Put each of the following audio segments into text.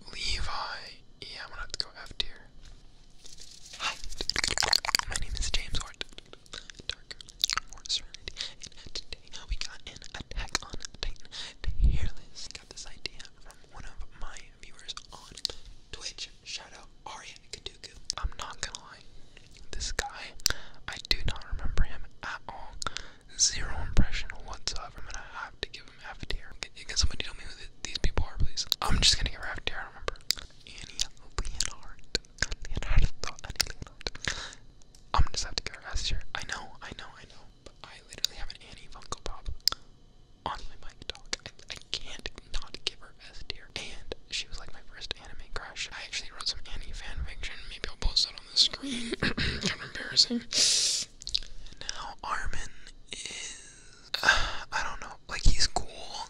Levi. Yeah, I'm gonna have to go F tier. Hi, my name is James Hort. Dark more serenity. And today we got an Attack on Titan Tearless. Got this idea from one of my viewers on Twitch. Shout out Kaduku. I'm not gonna lie, this guy, I do not remember him at all. Zero impression whatsoever. I'm gonna have to give from Avatar. Can somebody tell me who these people are, please? I'm just gonna get her Avatar, I remember. Annie Leonard. Leonard. Annie Leonard. I'm gonna have to get her Esther. I know, I know, I know. I literally have an Annie Funko Pop on my mic dog. I, can't not give her S tier. And she was like my first anime crush. I actually wrote some Annie fanfiction. Maybe I'll post that on the screen. kind of embarrassing. Yes. Now Armin is I don't know, like he's cool,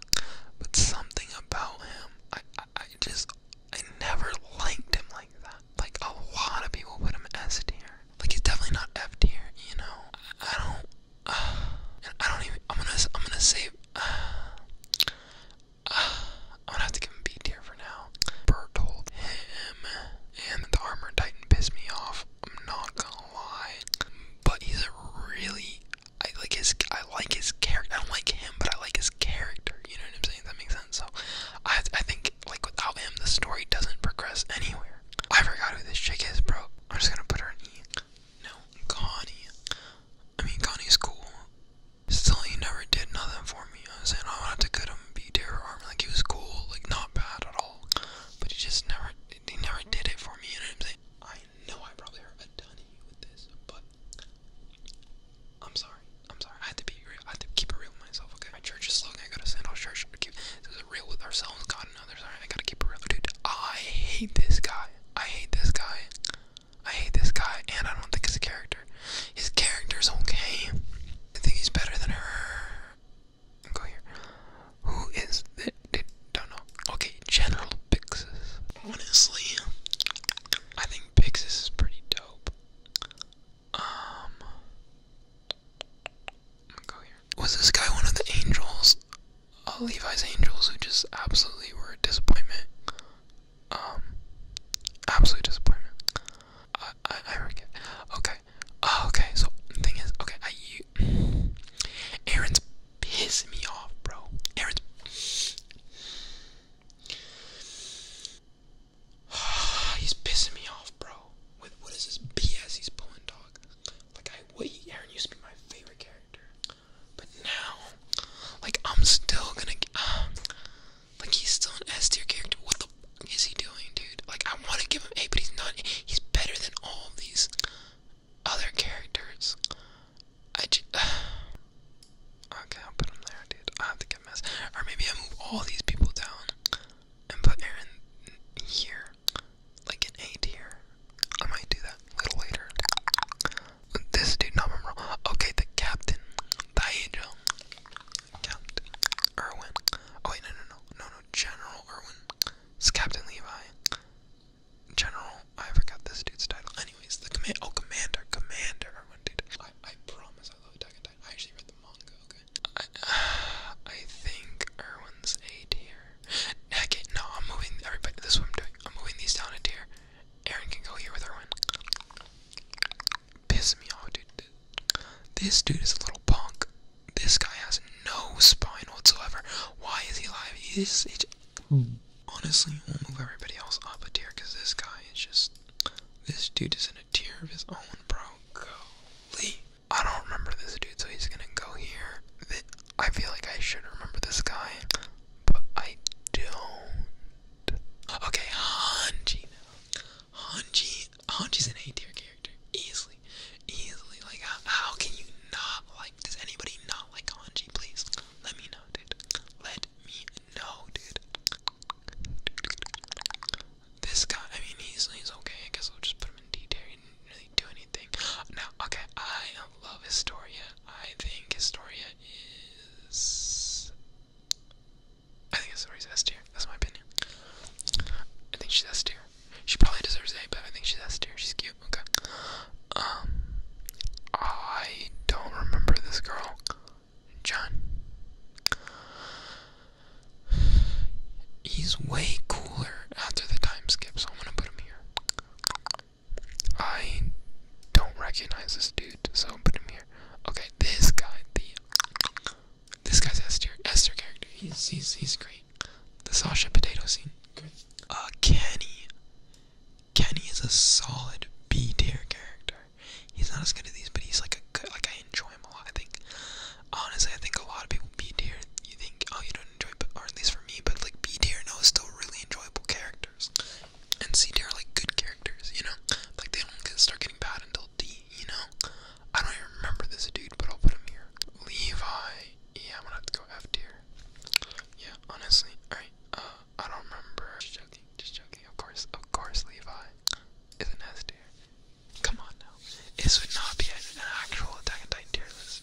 but something about him I, I just I never liked him like that. Like a lot of people put him S tier. Like he's definitely not F tier, you know. I, don't I don't even I'm gonna I'm gonna say I'm gonna have to give him B tier for now. Bert him and the armor titan pissed me off. I'm not gonna lie, but he's a really I like his I like his character. I don't like him, but I like his character. You know what I'm saying? That makes sense. So I I think like without him, the story doesn't progress anywhere. I forgot who this chick is, bro. I'm just gonna put her in E. No, Connie. I mean, Connie's cool. Still, he never did nothing for me. I'm saying I wanted to cut him, be dear arm. Like he was cool, like not bad at all but he just never he never did it for me. You know what I'm saying? I know I probably hurt a ton of you with this, but I'm sorry. I'm sorry. I had to be real. I had to keep it real with myself. Okay. My church is slogan. I go to Sandals Church. this is real with ourselves, God, and others. All right. I gotta keep it real, dude. I hate this guy. I hate this guy. I hate this guy, and I don't think a character. His character's okay. I think he's better than her. Go here. Who is that? Don't know. Okay, General Pixis. Honestly, I think Pixis is pretty dope. Um, go here. Was this guy one of the Angels? Oh, Levi's Angels, who just absolutely were a disappointment. Um, absolute disappointment. I I, I forget. Okay, Oh, okay, so the thing is, okay, Aaron's pissing me off, bro. Aaron's He's pissing me off, bro. With what is this BS he's pulling, dog? Like I wait, Aaron used to be my favorite character. But now, like I'm still gonna uh, like he's still an S tier character. What the the is he doing, dude? Like, I want to give him A, but he's not. He's better than all these other characters. I just. okay, I'll put him there, dude. I have to get mess. Or maybe I move all these people down and put Aaron here, like an A here. I might do that a little later. This dude, not memorable. Okay, the captain, Daijo, Captain Irwin. Oh wait, no, no, no, no, General Irwin. It's Captain Levi. General, I forgot this dude's title. Anyways, the command. Oh, Commander, Commander Irwin, did I, I promise I love Attack on I actually read the manga. Okay. I, think Irwin's a tier. Okay, no, I'm moving everybody. This is what I'm doing. I'm moving these down a tier. Aaron can go here with Irwin. Piss me off, dude. This dude is a little punk. This guy has no spine whatsoever. Why is he alive? He's, he just, honestly, we'll move everybody else up a tier because this guy is just. This dude is in a tier of his own, bro. Golly. I don't remember this dude, so he's gonna go here. I feel like I should remember this guy, but I don't. Okay, Hanjina. Hanji, Hanji's an A tier character, easily, easily. Like, how, can you not like? Does anybody not like Hanji? Please, let me know, dude. Let me know, dude. This guy, I mean, he's he's okay. I guess i will just put him in D tier. He didn't really do anything. Now, okay, I love Historia. I think Historia is. I think is S tier. That's my opinion. I think she's S tier. She probably deserves A, but I think she's S tier. She's cute. Okay. Um, I don't remember this girl. John. He's way cooler after the time skip, so I'm gonna put him here. I don't recognize this dude, so put him here. Okay, this guy, the this guy's S tier, S character. He's he's he's great. The Sasha potato scene. Great. Uh, Kenny. Kenny is a solid B tier character. He's not as good as these, but he's like a good, like I enjoy him a lot. I think honestly, I think a lot of people B tier. You think oh you don't enjoy, but at least for me, but like B tier no is still really enjoyable characters. And C tier are like good characters, you know. Like they don't start getting bad until D, you know. I don't even remember this dude, but I'll put him here. Levi. Yeah, I'm gonna have to go F tier. Yeah, honestly. Alright, uh, I don't remember. Just joking, just joking. Of course, of course, Levi is an S tier. Come on now. This would not be an actual Attack on Titan tier list.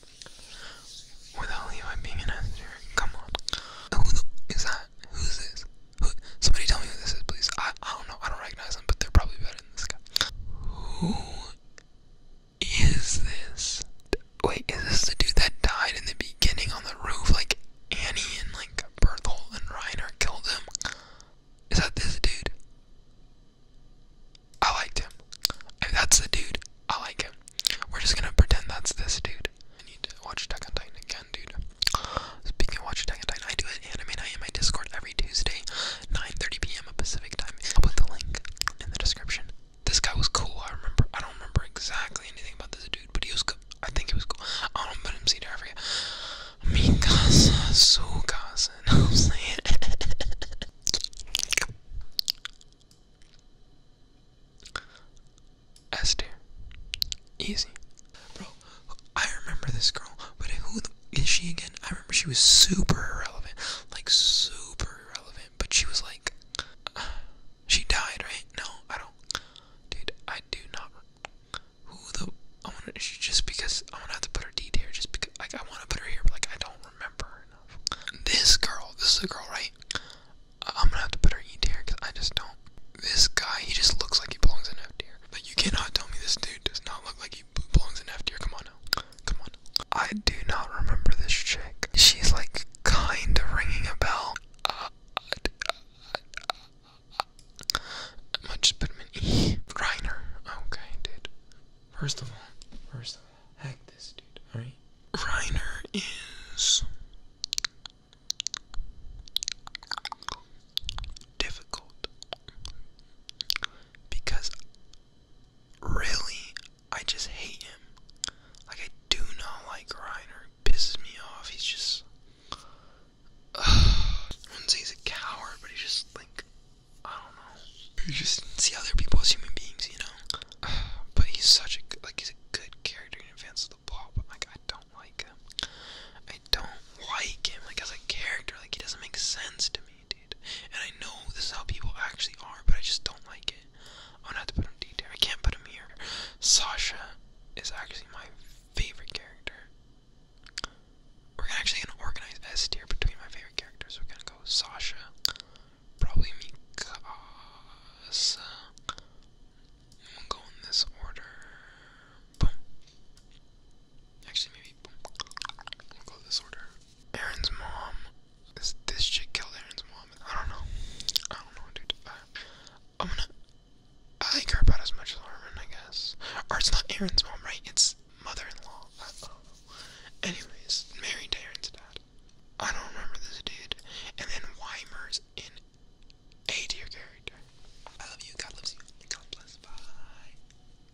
Without Levi being an S tier. Come on. Who the is that? Who's this? somebody tell me who this is, please. I, I don't know. I don't recognize them, but they're probably better than this guy. Who is this? Wait, is this the dude that died in the beginning on the roof? Like Annie and like Berthel and Reiner killed him. Is that this dude? I liked him. If that's the dude, I like him. We're just gonna pretend that's this dude. I need to watch Attack on Titan again, dude. Speaking of watch Attack on Titan, I do an anime night in my Discord every Tuesday. 9:30 p.m. Pacific time. I'll put the link in the description. This guy was cool. I remember. I don't remember exactly anything about this dude, but he was. I think he was cool. I don't put him see there for you. Amigas, sugas. I'm saying? S Easy. Bro, I remember this girl, but who the, is she again? She was super irrelevant, like super irrelevant. But she was like, she died, right? No, I don't, dude. I do not. Who the? I want to just because I want to have to put her D here. Just because, I want to put her here, but like, I don't remember enough. This girl, this is a girl, right? I'm gonna have to put her E tier because I just don't. This guy, he just looks like he belongs in F tier. Like you cannot tell me this dude does not look like he belongs in F tier. Come on now. Come on. I do not remember this chick. She's like kind of ringing a bell. Uh, uh, uh, I might just put him E. Reiner. Okay, dude. First of all, first of all, hack this dude, alright? Reiner is difficult because Really? I just hate him. Like, I do not like Reiner. Pisses me off. He's just. Uh, I wouldn't say he's a coward, but he's just like. I don't know. You just see other people as human beings, you know? but he's such a good. Like, he's a good character in advance of the plot, but, like, I don't like him. I don't like him. Like, as a character, like, he doesn't make sense to me, dude. And I know this is how people actually are, but I just don't like it. I'm to put him D I can't put him here. Sasha is actually my favorite character. We're actually gonna organize S tier between my favorite characters. We're gonna go Sasha, probably Mikasa. I'm go in this order. Boom. Actually, maybe We'll go this order. Aaron's mom. This, this shit killed Aaron's mom. I don't know. I don't know, dude. I, I'm gonna. I care about as much as Armin, I guess. Or it's not Aaron's mom, right? It's mother-in-law. Anyways, married to Aaron's dad. I don't remember this dude. And then Weimer's in a tier character. I love you. God loves you. God bless. Bye.